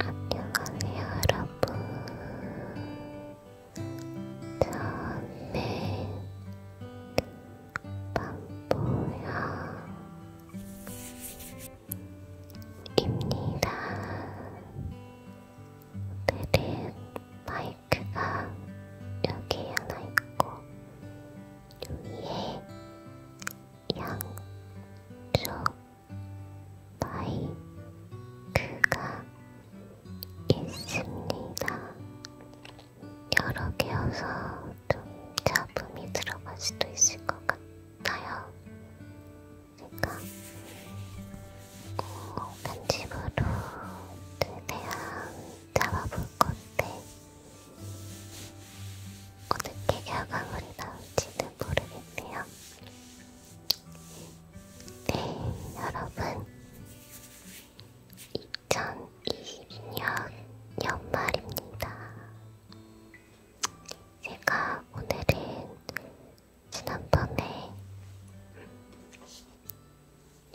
안녕하세요 여러분 저는 밤보야입니다 오늘은 마이크가 여기 하나 있고 위에 양쪽 마이크가 있습니다. 여러 개여서 좀 잡음이 들어갈 수도 있을 것 같아요. 그러니까 어, 편집으로 최대한 잡아볼 건데 어떻게 결과물이 나올지는 모르겠네요. 네, 여러분. 2020년 연말입니다. 제가 오늘은 지난번에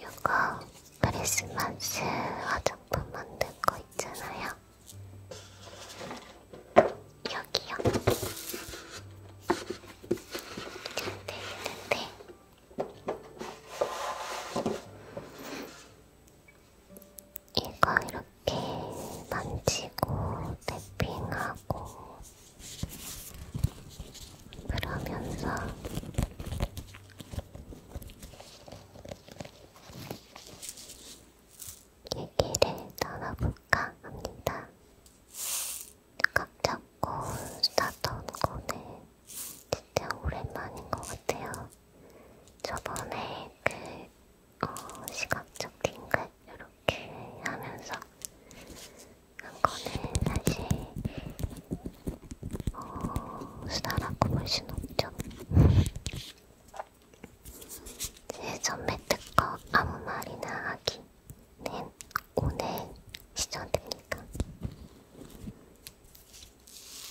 요거 크리스마스 화장품 만든 거 있잖아요. 여기요. 잘되는데 네, 이거 이렇게 만지고 탭핑하고 그러면서 얘기를 나눠볼까 합니다. 각 잡고 나던 거는 진짜 오랜만인 것 같아요. 저번에 그 어, 시각적 팅글 이렇게 하면서 한 거는 사실 어, 수다라고 볼순 없죠. 제 전매 특허 아무 말이나 하기는 오늘 시전되니까.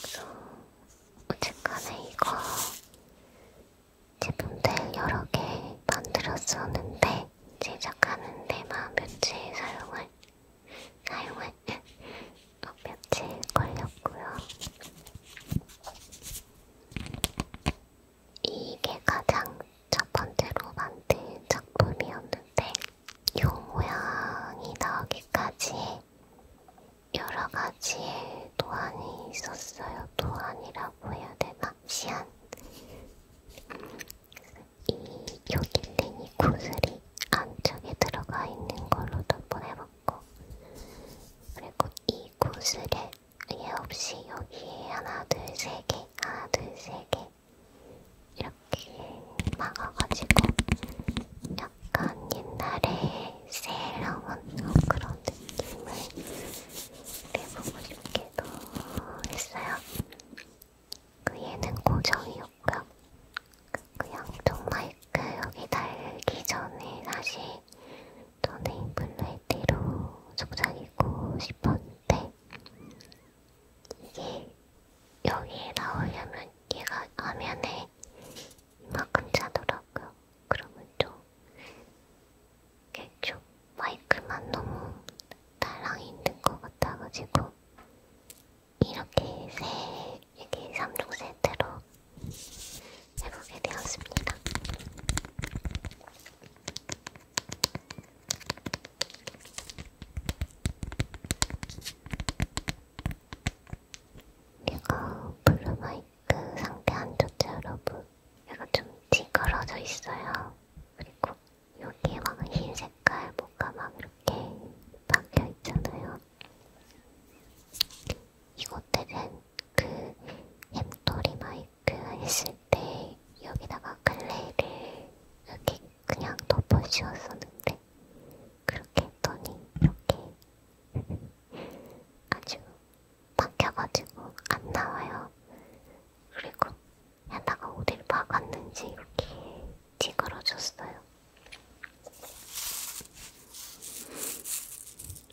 그래서 어쨌간에 이거 제품들 여러 개 만들었었는데 제작하는 데만 며칠 사용할 사용할 어, 며칠 걸렸고요. 이게 가장 첫 번째로 만든 작품이었는데, 요 모양이 나오기까지 여러 가지의 도안이 있었어요. 도안이라고 해야 되나? 시안. 이 요길린이 구슬이 안쪽에 들어가 있는 걸로 덮어내봤고, 그리고 이 구슬에 얘 없이 여기에 하나 둘세개 하나 둘세개 이렇게 막아가지고 약간 옛날에 세일러문 어, 그런 느낌을 내보고 싶기도 했어요. 그 얘는 고정이었고요. 그 양쪽 마이크 여기 달기 전에 다시 저는 블루에티로 속삭이고 싶었는데 이게 여기에 나오려면 얘가 화면에 이만큼 차더라고요. 그러면 좀좀 마이크만 너무 달랑 있는 것 같아가지고 이렇게 세 이렇게 3종 세트로 해보게 되었습니다. 이거 블루마이크 상태 안 좋죠 여러분? 얘가 좀 찌그러져 있어요. 그리고 여기에 막흰 색깔 뭐가 막 이렇게 박혀 있잖아요. 이거 되게 그 햄토리 마이크 그 했을 때 여기다가 클레이를 이렇게 그냥 덮어씌웠었는데 그렇게 했더니 이렇게 아주 박혀가지고 안 나와요. 그리고 야다가 어딜 박았는지 이렇게 찌그러졌어요.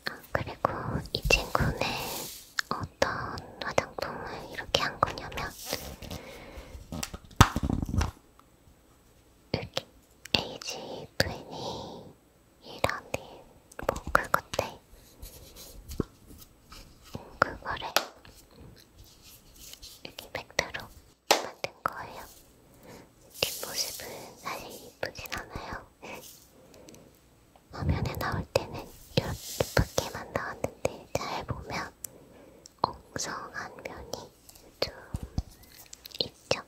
아, 그리고 이 친구는 어떤 화장품을 이렇게 한 거냐면 이렇게 에이지 트웬이 이라는 뭐 그건데 그거를 이렇게 팩트로 만든 거예요. 뒷모습은 사실 이쁘진 않아요. 화면에 나올 때는 이렇게만 나왔는데 잘 보면 엉성한 면이 좀 있죠.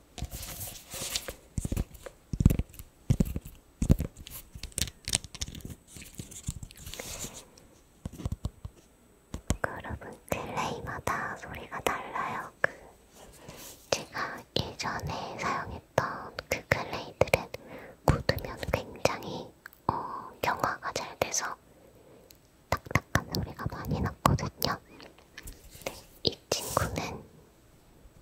여러분 클레이마다 소리가 달라요. 그 제가 예전에 사용했 했던 그 글레이들은 굳으면 굉장히 어, 경화가 잘 돼서 딱딱한 소리가 많이 났거든요. 네, 이 친구는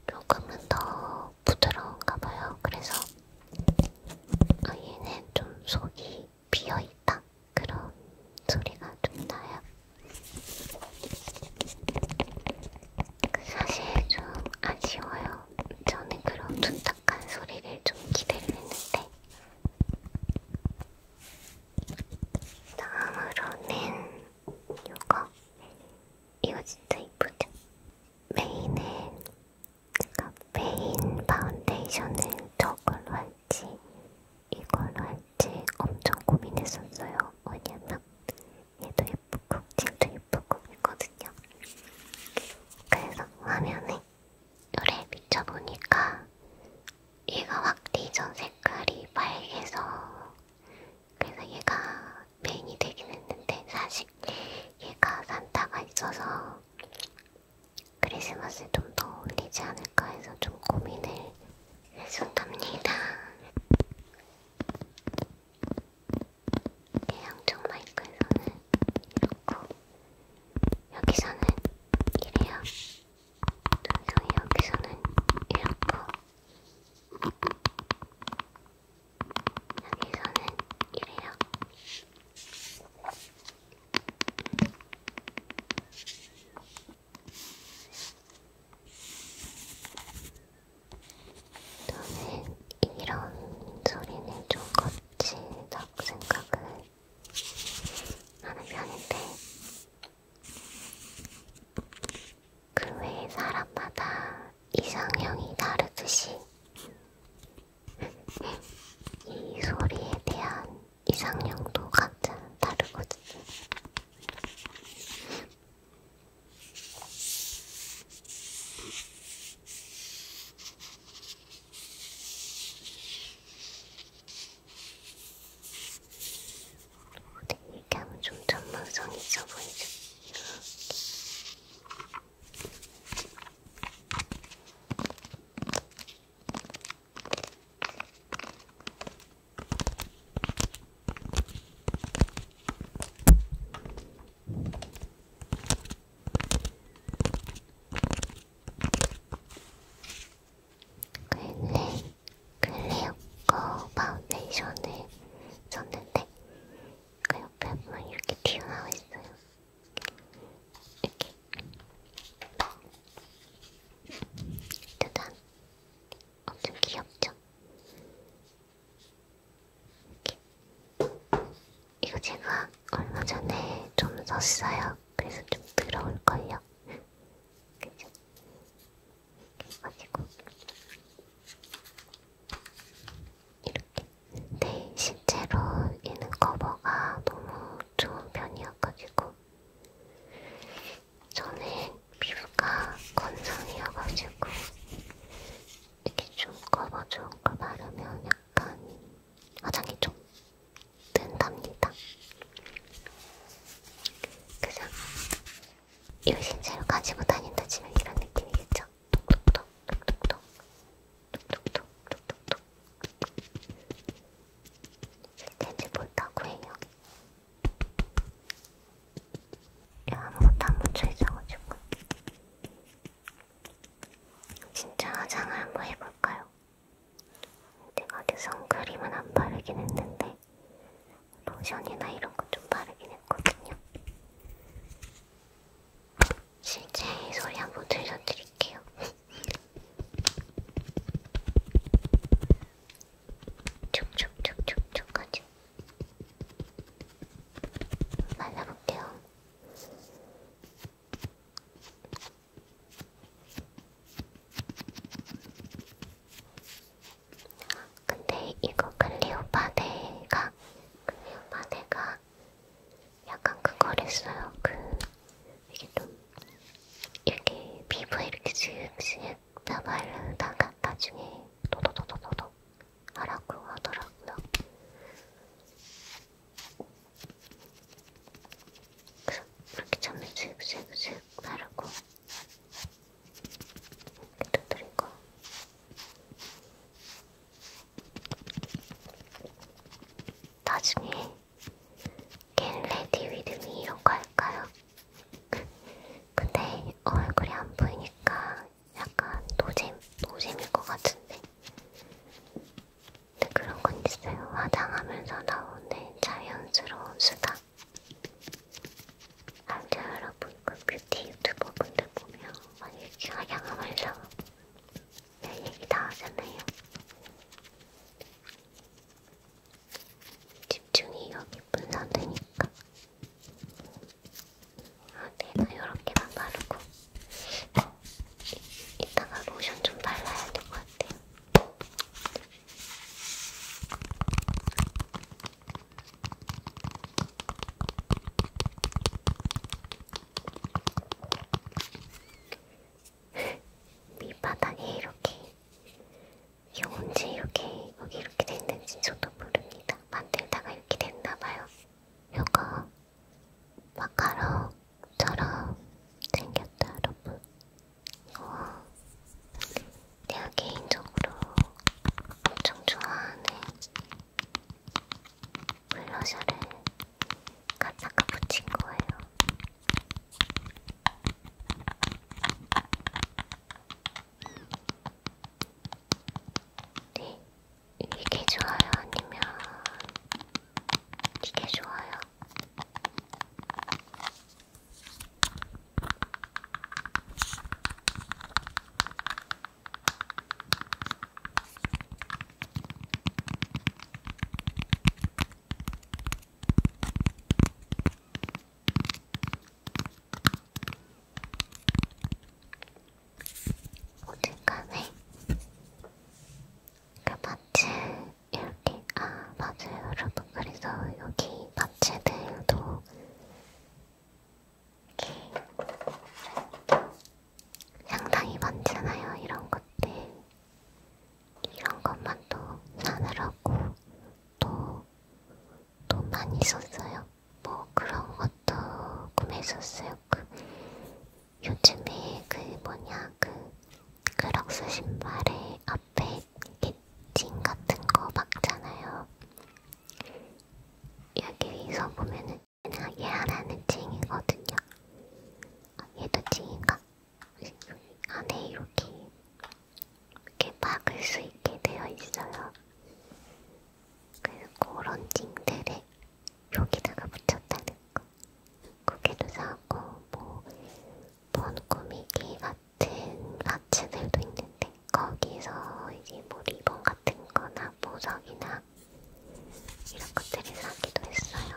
조금은 더 부드러운가 봐요. 그래서 어, 얘는 좀 속이 비어있다. 그런 소리가 좀 나요. 사실 좀 아쉬워요. 저는 그런 둔탁한 소리를 좀 기대를 했는데 다음으로는 이거 이거 진짜 이쁘죠? 메인에 그러니까 메인 파운데이션을 저걸로 할지 이걸로 할지 엄청 고민했었어요. 왜냐면 얘도 예쁘고 팅도 예쁘고 있거든요. 그래서 화면에 노래 비춰보니까 얘가 확 뒤져 색깔이 빨개서 그래서 얘가 메인이 되긴 했는데 사실 얘가 산타가 있어서 크리스마스에 좀 더 어울리지 않을까 해서 좀 고민을 했었답니다. 양쪽 마이크에서는 이렇고 여기서는 이래요. 동영이 여기서는 이렇고 여기서는 이래요. 저는 이런 소리는 좀 거칠다고 생각을 하는 편인데 그 외에 사람마다 이상형이 다르듯이 이 소리에 대한 이상형도 각자 다르거든요. 근데 얘기하면 좀 전문성이 있어 보이죠? 글레, 글레오코 파운데이션을 썼는데 그 옆에 보면 이렇게 튀어나와 있어요. 이렇게. 짜잔. 엄청 귀엽죠? 이렇게. 이거 제가 얼마 전에 좀 썼어요. 그래서 좀 더러울걸요. 그죠? 가지고 이렇게. 네, 실제로 얘는 커버가 너무 좋은 편이어가지고 저는 피부가 건성이어가지고 이게 중꺼버 중꺼 바르면 약간 화장이 좀 뜬답니다. 그죠? 이걸 실제로 가지고 다닌다 치면 이런 느낌이겠죠? 톡톡톡, 톡톡톡, 톡톡톡, 톡톡톡. 실제인지 못하고 해요. 아무것도 안 붙여 있어가지고. 진짜 화장을 한번 해볼까요? 내가 어제 선크림은 안 바르긴 했는데 로션이나 이런 거좀 바르긴 했거든요. 실제 소리 한번 들려드릴게요. 쭉쭉쭉쭉쭉 까지 발라볼게요. 근데 이거 클리오파데가 클리오파데가 약간 그거랬어요. 그 이게 좀 이렇게 피부에 이렇게 슥슥 펴바르다가 나중에 도도도도도도 하라고 하더라고요. 그렇게 점을 슥슥슥 바르고 이렇게 두드리고 나중에 겐 레디 위드미 이런 거 할까요? 근데 얼굴이 안 보이니까 약간 노잼, 노잼일 것 같은데. 근데 그런 건 있어요. 화장하면서 나오는 자연스러운 수다. 알죠, 여러분? 그 뷰티 유튜버 분들 보면 막 이렇게 화장하면서 별 얘기 다 하잖아요. 집중이 여기 분산되니까 내가 네, 이렇게만 바르고 어, 이, 이따가 로션 좀 발라야 될 것 같아요. 밑바닥에 이렇게 이게 언제 이렇게 여기 이렇게 됐는지 저도 모릅니다. 만들다가 이렇게 됐나봐요. 이거 마카롱처럼 생겼다, 여러분. 우와. 내가 개인적으로 엄청 좋아하는 블러셔를 가짜가 붙인 거예요. 네, 이게 좋아요? 아니면 이게 좋아요? 어쨌간에 그 마치 이렇게 아 맞아요 여러분 그래서 여기 마치들도 이렇게 상당히 많잖아요 이런 것들 이런 것만 또 사느라고 또또 또 많이 썼어요. 뭐 그런 것도 구매했었어요. 그 요즘에 그 뭐냐 그 크록스 신발에 앞에 개칭 같은 거 막잖아요. 여기서 보면은 얘 하나는 찡이거든요. 아, 얘도 찡인가? 안에 이렇게 이렇게 막을 수 있게 되어 있어요. 그런 징들을 여기다가 붙였다는 거. 고개도 사고 뭐 번꾸미기 같은 아츠들도 있는데 거기서 이제 뭐 리본 같은 거나 보석이나 이런 것들을 사기도 했어요.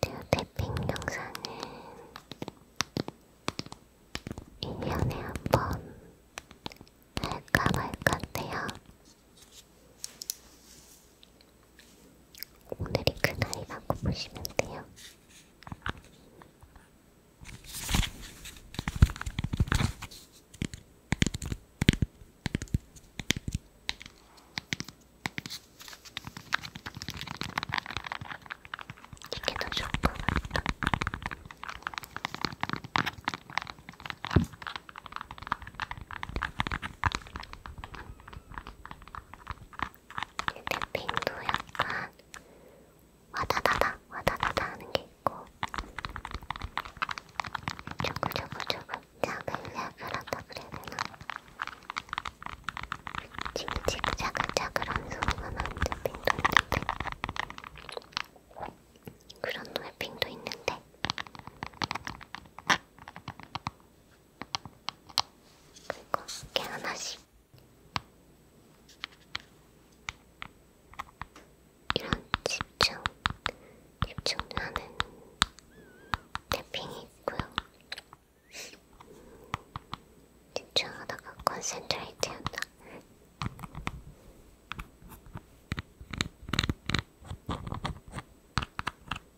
제가 음, 태핑 영상은 1년에 한 번 할까 말까 인데요 오늘이 그날이라고 보시면 돼요. 이게 더 좋은 것 같다. 탭핑도 약간 와다다다 와다다다 하는 게 있고 조금 조금 조금 야글야글하다 그래야 되나? 징직자글자글한 소리가 나는데 핑도 있는데 그런 노래 핑도 있는데 그리고 개 하나씩 이런 집중 집중하는 탭핑이 있고요. 집중하다가 컨센트레이트 한다.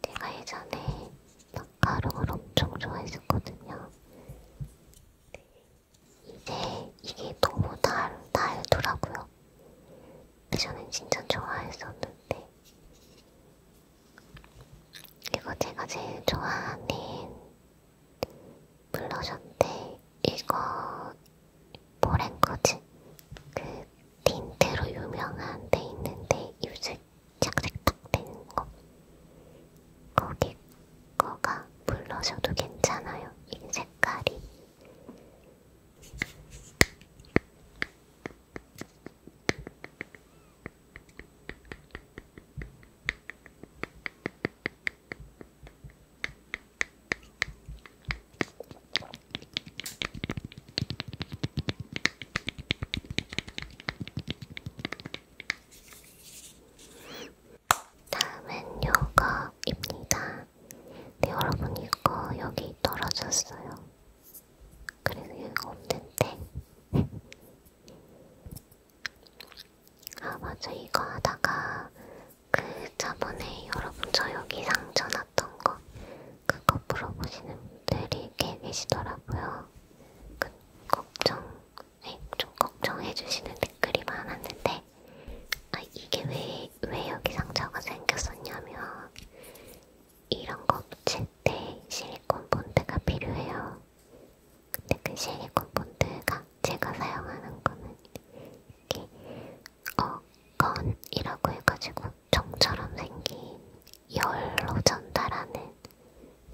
내가 예전에 마카롱을 엄청 좋아했었거든요. 이제 이게 너무 달, 달더라고요. 예전엔 진짜 좋아했었는데 그리고 제가 제일 좋아하는 블러셔인데 이거 보랭거지 그 틴트로 유명한 데 있는데 입술 착색딱 되는 거 거기 거가 블러셔도 괜찮아요 이 색깔이 다음은 요거입니다. 네, 여러분 이거 여기 떨어졌어요. 그래서 여기 없는데 아 맞아 이거 하다가 그 저번에 여러분 저 여기 상처 났던 거 그거 물어보시는 분들이 꽤 계시더라고요. 그 걱정, 네, 좀 걱정해주시는 댓글이 많았는데 아 이게 왜, 왜 여기 상처가 생겼었냐면 이런 거 붙일 때 실리콘 본드가 필요해요. 근데 그 실리콘 본드가 제가 사용하는 거는 이렇게 어건이라고 해가지고 정처럼 생긴 열로 전달하는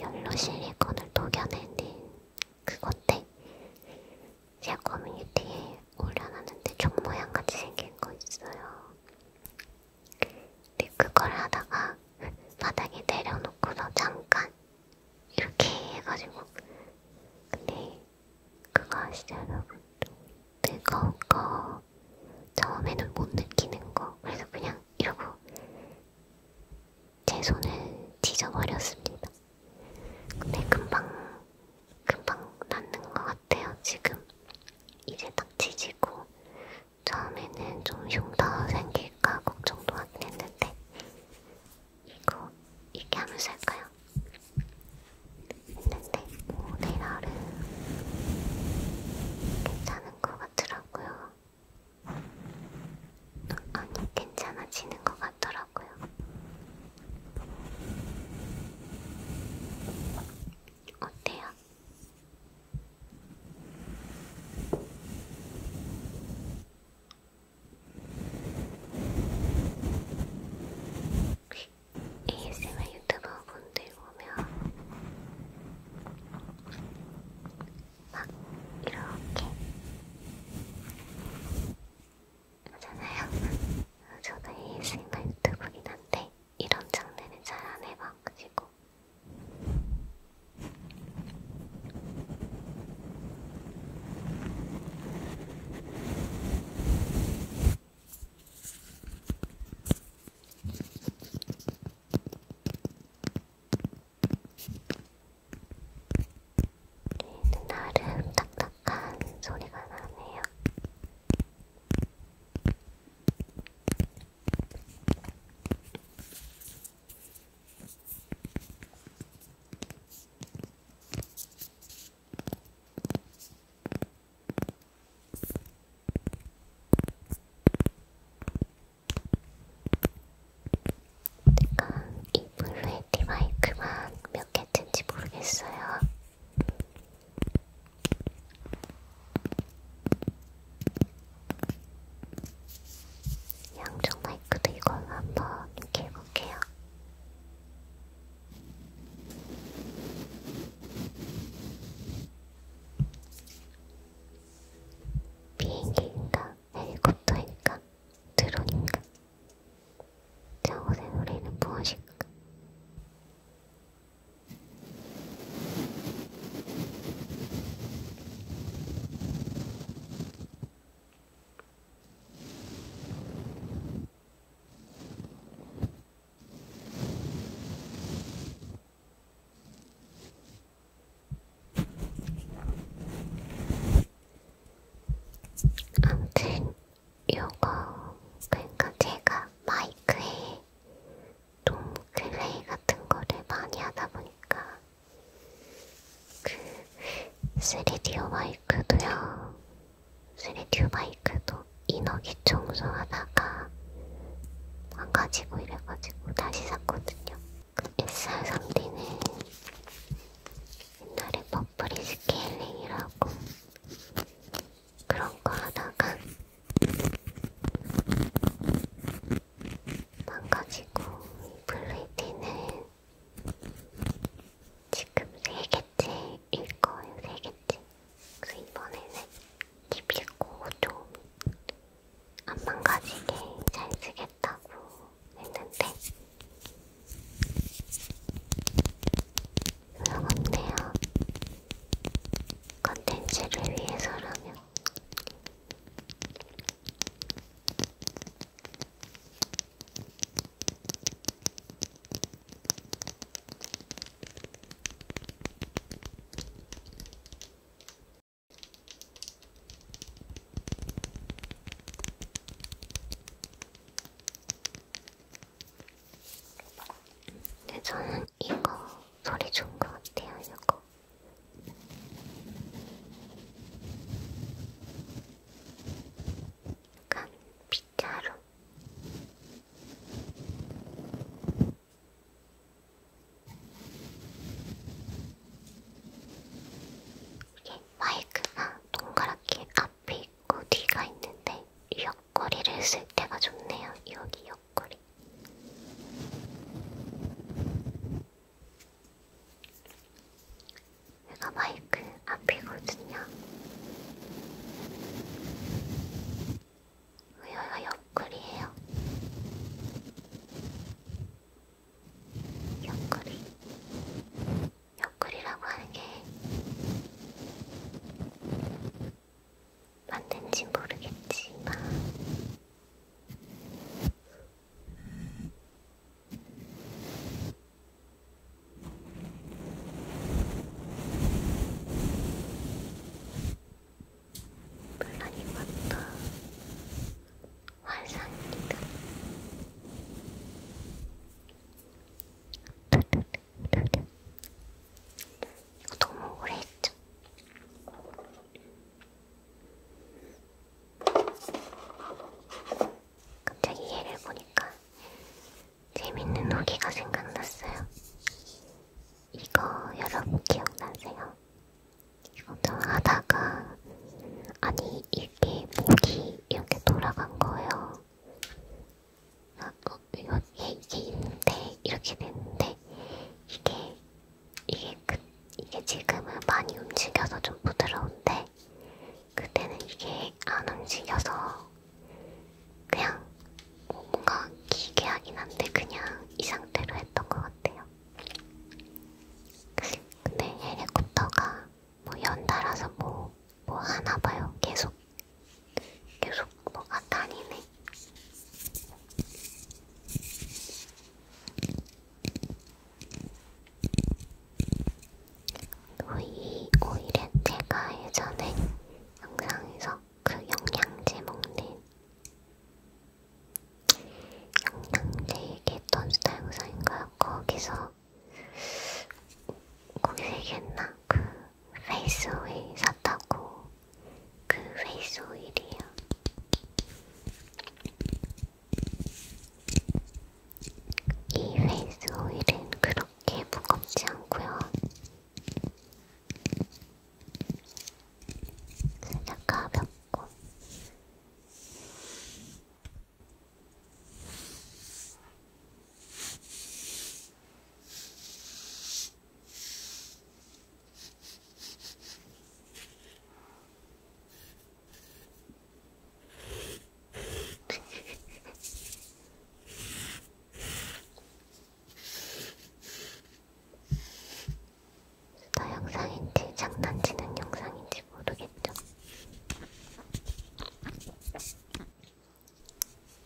열로 실리콘을 녹여내는 그건데 제가 커뮤니티에 올려놨는데 종 모양 같이 생긴 거 있어요. 근데 그걸 하다가 바닥에 내려놓고서 잠깐 이렇게 해가지고 근데 그거 아시죠 여러분? 뜨거운 거 처음에는 못 느끼는 거 그래서 그냥 이러고 제 손을 뒤져버렸습니다. 근데 금방 금방 낫는 것 같아요 지금 이제 딱 지지고 처음에는 좀 흉터 생길까 걱정도 하긴 했는데 이거 이렇게 하면서 할까요? 했는데 오늘 하루 괜찮은 것 같더라고요. 아니 괜찮아지는 것 같더라고요. 어때요? ASMR 유튜버 분들 보면 막 이렇게 하잖아요. 저도 ASMR 유튜버긴 한데 이런 장르는 잘 안 해봐가지고 나름 딱딱한 소리가 나네요. 약간 이 블루에티 마이크만 몇 개인지 모르겠어요. 양쪽 마이크도 이걸로 한번 이렇게 해볼게요. 비행기인가, 헬리콥터인가, 드론인가, 저곳의 노래는 무엇일까? 아무튼 요거 그러니까 제가 마이크에 돔 클레이 같은 거를 많이 하다 보니까 그 3D 마이크도요. 3D 마이크도 인어기 청소하다가 망가지고 이래가지고 다시 샀거든요. 그 SR3D는 옛날에 버프리 스케일링이라고 그런 거 하다가 망가지고 이 블루이티는 지금 세개째일 거예요. 세개째 그래서 이번에는 깊이고 좀 안 망가지게 잘 쓰겠다고 했는데 소용없네요. 컨텐츠를 위해서라면 근데 저는 이거 소리 좋은 것 같아요, 이거. 간 빗자루 이게 마이크가 동그랗게 앞에 있고 뒤가 있는데 옆걸이를 쓸 때가 좋네요. 여기 옆걸이. 제가 마이크 앞이거든요. 여기가 옆구리예요. 옆구리. 옆구리라고 하는 게 맞는지 모르겠지만 물론 이것도 환상입니다. 이거 너무 오래 했죠? 갑자기 얘를 보니까 재밌는 후기가 생각났어요. 이거 여러분 기억나세요? 이거 저 하다가 아니 이게 목이 이렇게 돌아간 거예요. 아, 어, 이거 이게 있는데 이렇게 됐는데 이게 이게, 그, 이게 지금은 많이 움직여서 좀 부드러운데 그때는 이게 안 움직여서 그냥 뭔가 기괴하긴 한데 그냥 이 상태로 했던 것 같아요. 근데 헬리콥터가 뭐 연달아서 뭐, 뭐 하나 봐요. 계속, 계속 뭐가 다니네. 오이, 오히려 내가 예전에 영상에서 그 영양제 먹는 영양제 얘기했던 스타 영상인가요? 거기서 거기서 얘기했나? 그 페이스 오일 샀다고 그 페이스 오일이요 이 페이스 오일은 그렇게 무겁지 않고요. 살짝 가볍고 나 영상인지 장난치는 영상인지 모르겠죠.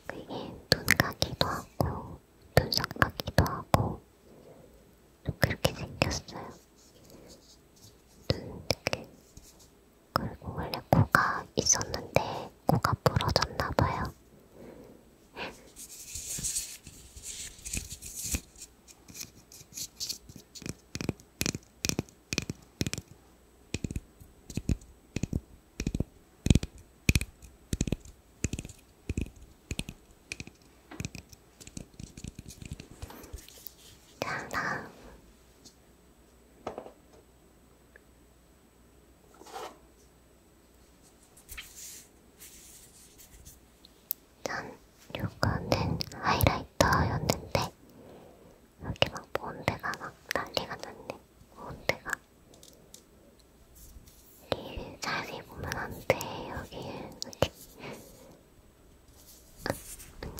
그게 눈 가기도 하고 눈썹 가기도 하고 그렇게 생겼어요. 눈 이렇게 그리고 원래 코가 있었는데 코가 부러졌나봐요. 다음 다음 전 요거는 하이라이터였는데 이렇게 막 본드가 막 난리가 났네 본드가 릴 자세히 보면 안 돼 여기 이렇게 역시 뚜껑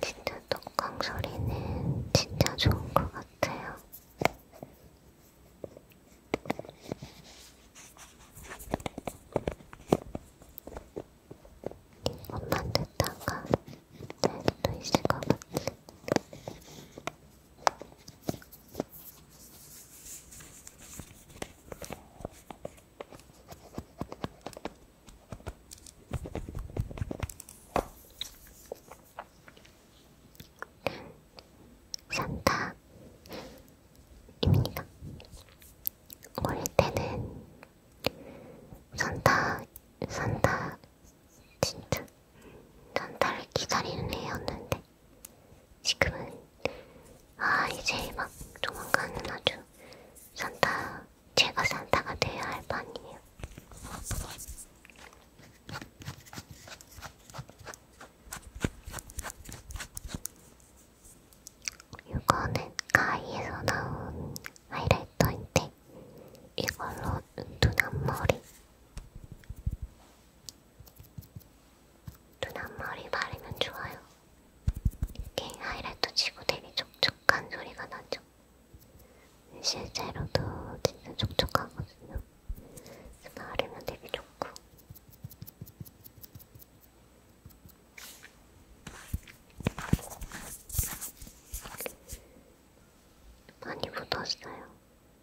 진짜 똥강 소리는 진짜 좋은 것 같아요. 이것만 듣다가 내일도 네, 있을 것 같아. 산타입니다. 어릴 때는 산타, 산타, 진짜 산타를 기다리는 애였는데 지금은 아 이제 막 조만간은 아주 산타 제가 산타가 돼야 할 판이에요. 이거는 가이에서 나온 하이라이터인데 이걸로 눈앞머리 눈 앞머리 바르면 좋아요. 이렇게 하이라이트 치고 되게 촉촉한 소리가 나죠. 실제로도 진짜 촉촉하거든요. 바르면 되게 좋고. 많이 묻었어요.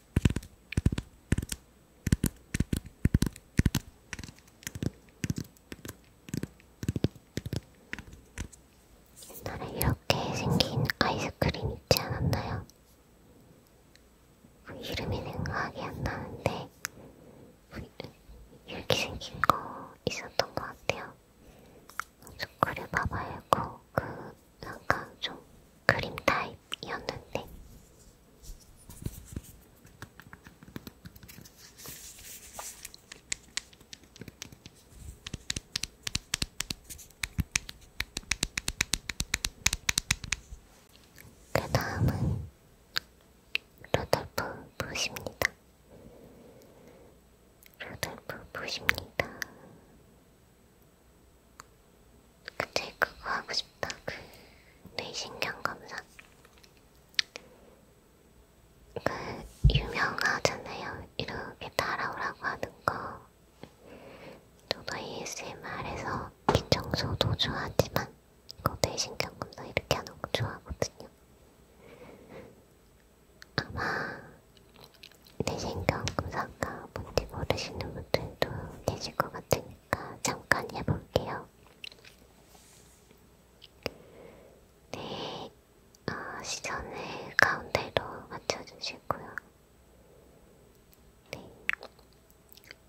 옛날에 이렇게 생긴 아이스크림 있지 않았나요? 그 이름이 생각이 안 나는데 이렇게 생긴 거 있었던 것 같아요. 초콜릿 바 말고 그 약간 좀 크림 타입이었는데 그 다음은 로돌프 붓입니다. 로돌프 붓입니다. 근데 그거 하고 싶다. 그 뇌신경 검사. 그 유명하잖아요. 이렇게 따라오라고 하는 거. 저도 ASMR에서 기청소도 좋아하지만 이거 뇌신경 검사 이렇게 하는 거 좋아하거든요. 아마 뇌신경 검사가 뭔지 모르시는 분들도 계실 것 같으니까 테니까 잠깐 해볼게요. 네, 어, 시선을 가운데로 맞춰주시고요. 네,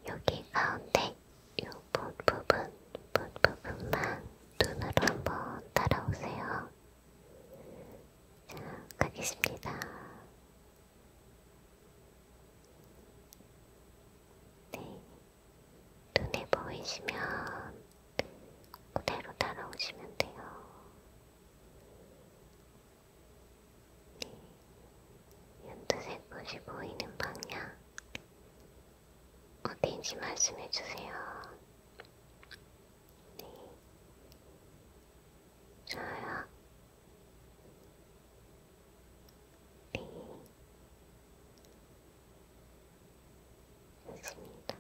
여기 가운데 이 부분, 부분만 눈으로 한번 따라오세요. 자, 가겠습니다. 네. 눈에 보이시면 그대로 따라오시면 돼요. 네. 연두색 꽃이 보이는 방향 어디인지 말씀해 주세요. 네. 좋아요. 했습니다.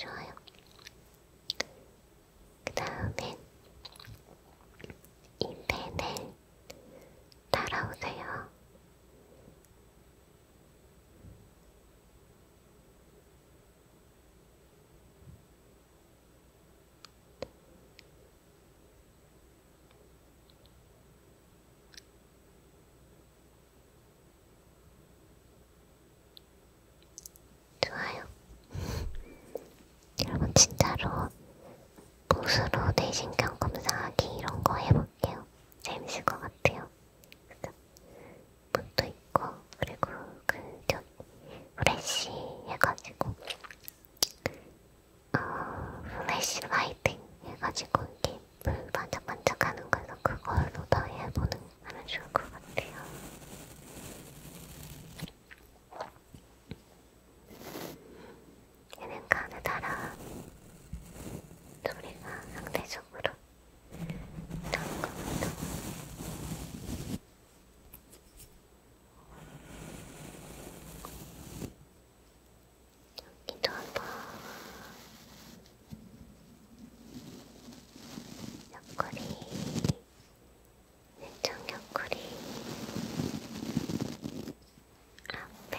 좋아요. 그 다음엔 이 펜을 따라오세요. 좋아요. 여러분 진짜로 붓으로 뇌신경 검사하기 이런 거 해볼게요. 재밌을 것 같아요. 그죠? 붓도 있고, 그리고 그, 저, 플래시 해가지고, 어, 플래시 라이팅 해가지고, 이렇게 불 반짝반짝 하는 거에서 그걸로 더 해보는, 하면 좋을 것 같아요. 얘는 음. 가느다란 소리가 상대적으로 나은 것 같아. 여기도 한번 옆구리, 왼쪽 옆구리, 앞에,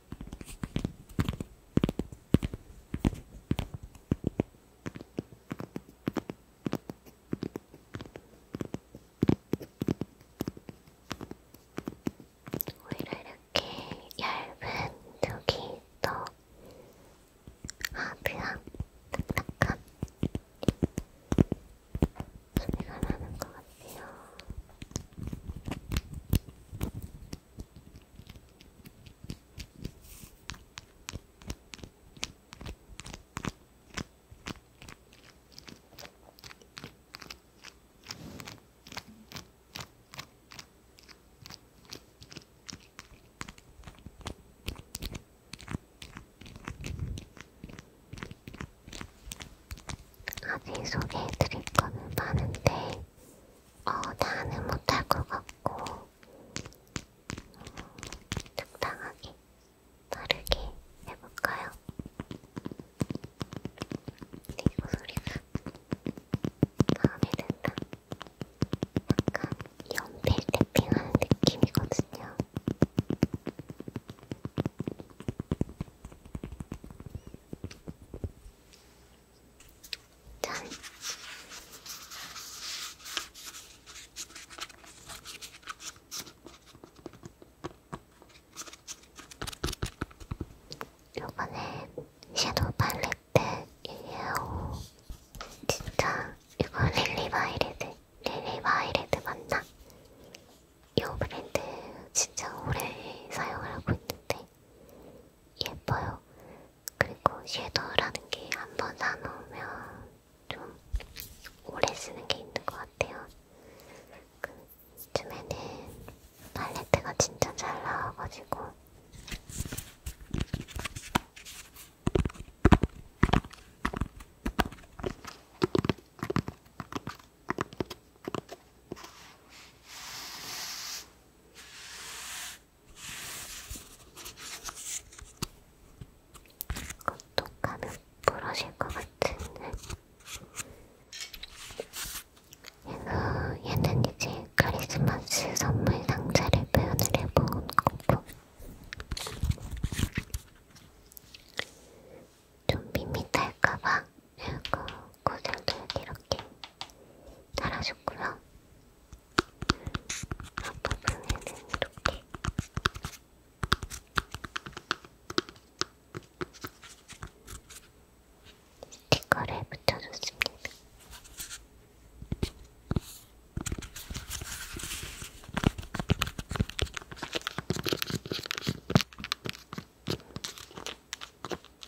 오히려 이렇게 얇은 쪽이 더 아드한 딱딱한 소리가 나는 것 같아요. 아직 소개해드릴 거는 많은데 어, 다는 못할 것 같고 어, 적당하게 빠르게 해볼까요? 네, 목소리가 마음에 든다. 약간 연필 탭핑하는 느낌이거든요. 짠! 요번에 섀도우 팔레트 125 진짜 이거 릴리 바이레드 릴리 바이레드 맞나? 이 브랜드 진짜 오래 사용을 하고 있는데 예뻐요. 그리고 섀도우라는 게 한 번 사놓으면 좀 오래 쓰는 게 있는 것 같아요. 그 요즘에는 팔레트가 진짜 잘 나와가지고 건톡하면 부러질 것 같은데 얘는, 얘는 이제 크리스마스 선물 상자를 표현을 해본 거고 좀 밋밋할까봐 이거 고슬도 이렇게 달아줬고요 앞부분에는 이렇게 스티커를 붙여줬습니다.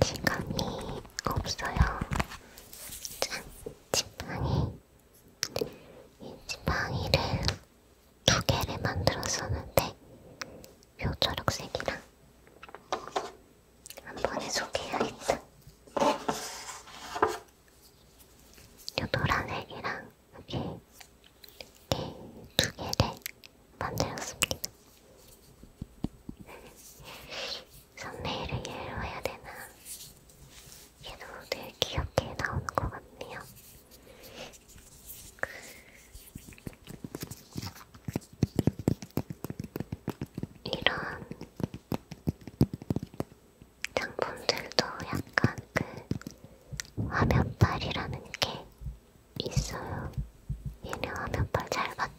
지감이 없어요. 짠! 지팡이. 이 지팡이를 두 개를 만들었었는데, 요 초록색이랑 한 번에 소개해야겠다. 요 노란색이랑 이렇게 두 개를 만들었습니다. 선배를 얘로 해야 되나? 얘도 되게 귀엽게 나오는 것 같네요. 이런 장품들도 약간 그 화면빨이라는 게 있어요. 얘네 하면 발잘 봤죠.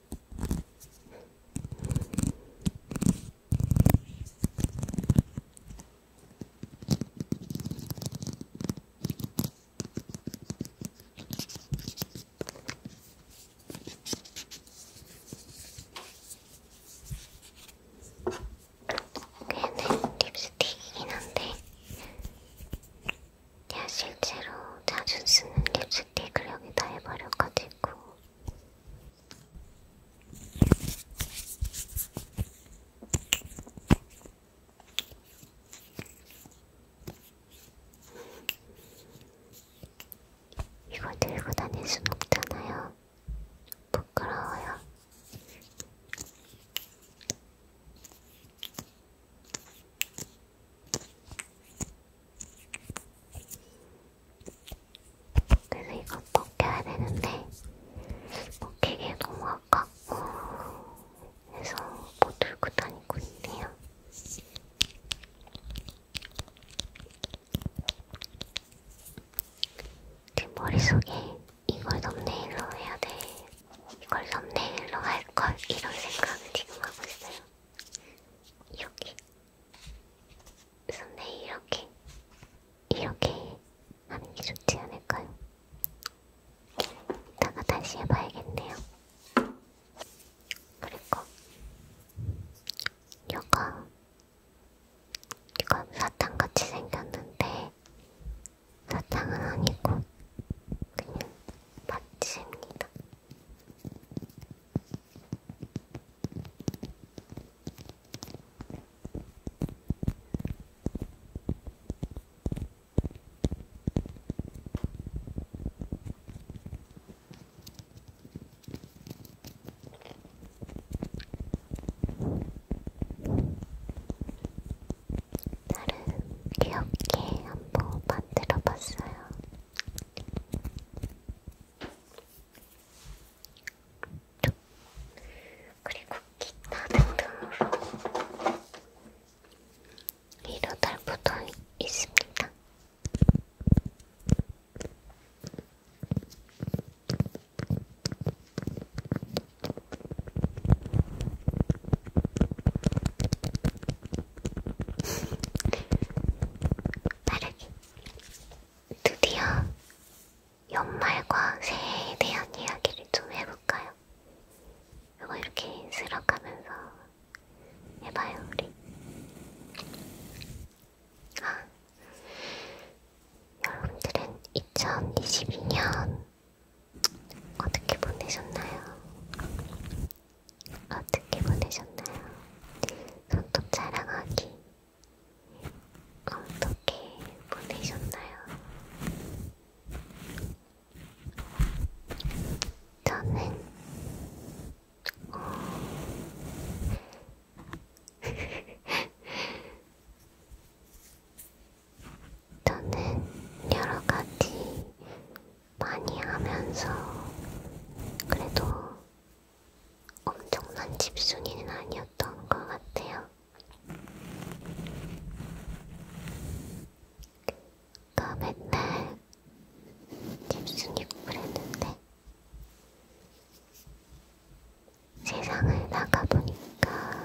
얘는 네, 네, 립스틱이긴 한데 제가 실제로 자주 쓰는 립스틱을 여기다 해버렸거든요. 않고 이걸 들고 다닐 순 없잖아요. 부끄러워요. 그래서 이거 벗겨야 되는데 벗기기에 너무 아깝고 해서 뭐 들고 다니고 있네요. 제 머릿속에 이걸 썸네일로 해야 돼. 이걸 썸네일로 할 걸 이런 생각을 지금 하고 있어요. 여기. 선배 이렇게 이렇게 하는 게 좋지 않을까요? 이따가 다시 해봐야겠네요. 그리고 이거 이건 사탕 같이 생겼는데 사탕은 아니고 그냥 마취입니다. 나름 귀엽게 한번 만들어 봤어요. 그리고 기타 등등으로 위로 달붙어 있습니다. 빠르게. 드디어 연말과 새해에 대한 이야기를 좀 해볼까요? 이거 이렇게 슬럭하면서 해봐요, 우리. 아, 여러분들은 2022년 어떻게 보내셨나요? 어떻게 아, 보내셨나요? 손톱 자랑하기 어떻게 보내셨나요? 저는 어... 저는 여러 가지 많이 하면서 그래도 엄청난 집순이는 아니었던 것 같아요. 그러니까 맨날 집순이고 그랬는데 세상을 나가보니까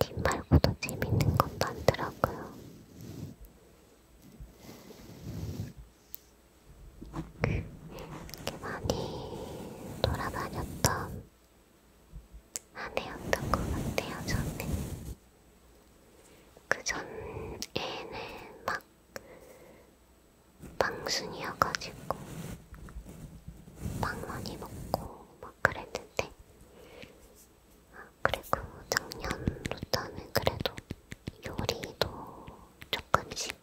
집 말고도 재밌는 것도 많더라고요. 그 많이 돌아다녔던 한 해였던 것 같아요, 저는. 그 전에는 막 방순이어가지고 빵 많이 먹고 막 그랬는데 아, 그리고 작년부터는 그래도 요리도 조금씩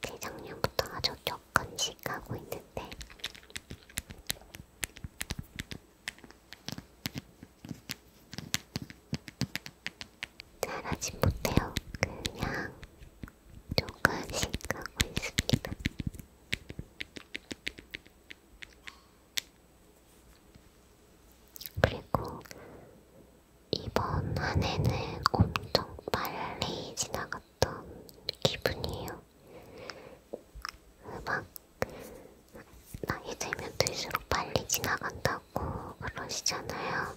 재작년부터 아주 조금씩 하고 있는데 잘하지 못해요. 그냥 조금씩 하고 있습니다. 그리고 이번 한 해는 엄청 빨리 지나갔던 기분이에요. 막 나이 들면 들수록 빨리 지나간다고 그러시잖아요.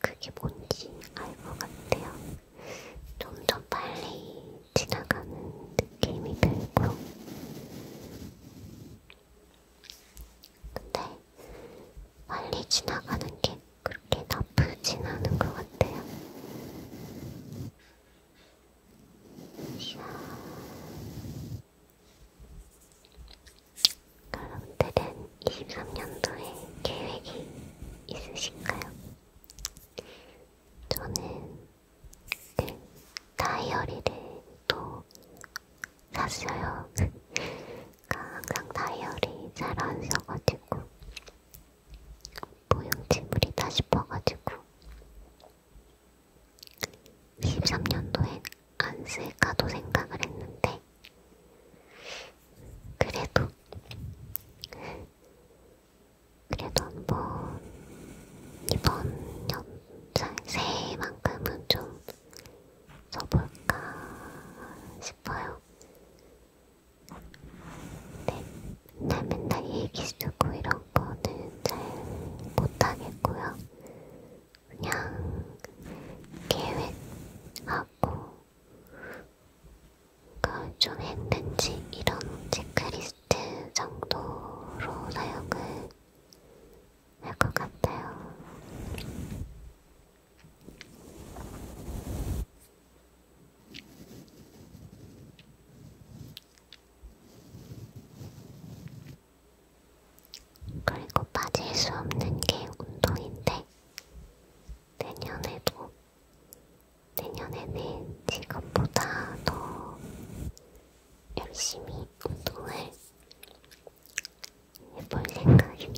그게 뭔지 알 것 같아요. 좀 더 빨리 지나가는 느낌이 들고 근데 빨리 지나가는 게 그렇게 나쁘진 않은 것 같아요. 여러분들은 23년도에 계획이 있으신가요? 저는 그 다이어리를 또 샀어요. 항상 다이어리 잘 안 써가지고 보형지물이다 싶어가지고 13년도엔 안 쓸까도 생각을 했는데 그래도 그래도 한번 이번 연 새해만큼은 좀 써볼까 싶어요. 네, 나 맨날 얘기 쓰고 이런 거는 잘 못하겠고요. 그냥 계획하고 그걸 좀 했는지 이런 체크리스트 정도로 사용을 할것 같아요. 그리고 빠질 수 없는 게 운동인데, 내년에도, 내년에는 지금보다 더 열심히 운동을 해볼 생각입니다.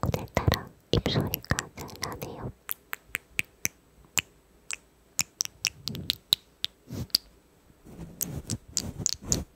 오늘따라 입소리가 잘 나네요.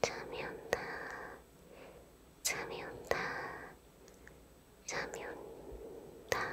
잠이 온다. 잠이 온다. 잠이 온다. 잠이 온다.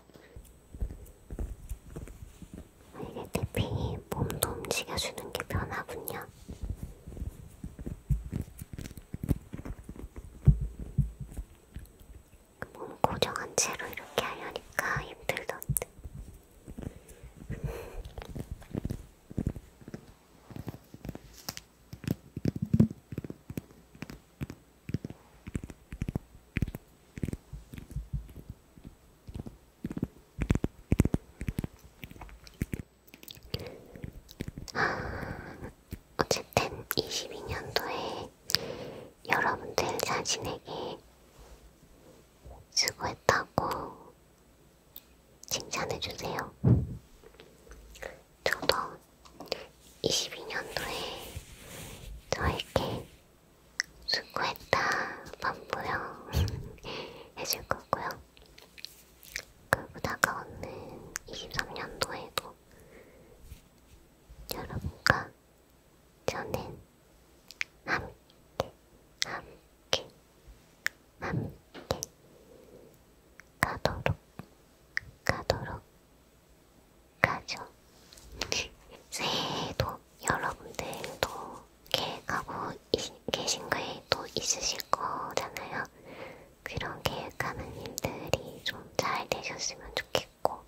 이게 태핑이 몸도 움직여주는 게 변하군요. 그 몸 고정한 채로 이렇게 하려니까 힘들던데. 어쨌든 22년도에 여러분들 자신에게 수고했다고 칭찬해주세요. 저도 22년도에 저에게 수고했다 반보영 해줄 거고요. 그리고 다가오는 23년도에도 여러분과 저는 함께 함께 함께 가도록 가도록 가죠. 새해에도 여러분들도 계획하고 이, 계신 게또 있으실 거잖아요. 그런 계획하는 일들이 좀 잘 되셨으면 좋겠고,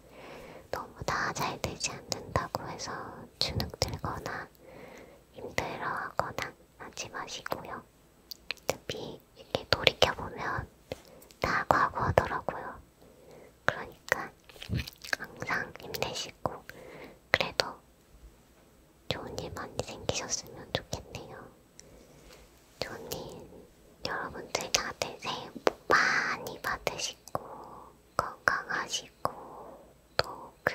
너무 다 잘 되지 않는다고 해서 주눅 들거나 힘들어 하거나 하지 마시고요. 어차피 이렇게 돌이켜보면 다 과거더라고요. 그러니까 항상 힘내시고 그래도 좋은 일 많이 생기셨으면 좋겠네요. 좋은 일 여러분들 다들 새해 복 많이 받으시고 건강하시고 또 그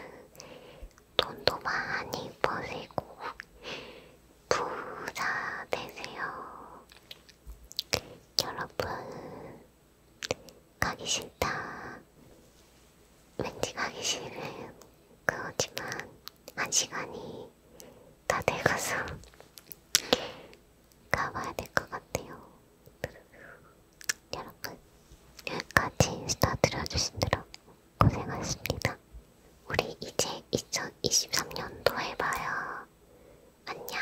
돈도 많이 버시고 부자 되세요. 여러분 가기 싫다. 왠지 가기 싫은 그거지만 한 시간이 다 돼가서 가봐야 될 것 같아요. 여러분 여기까지 인스타 들어주시느라 고생하셨습니다. 우리 이제 2023년도 해봐요. 안녕.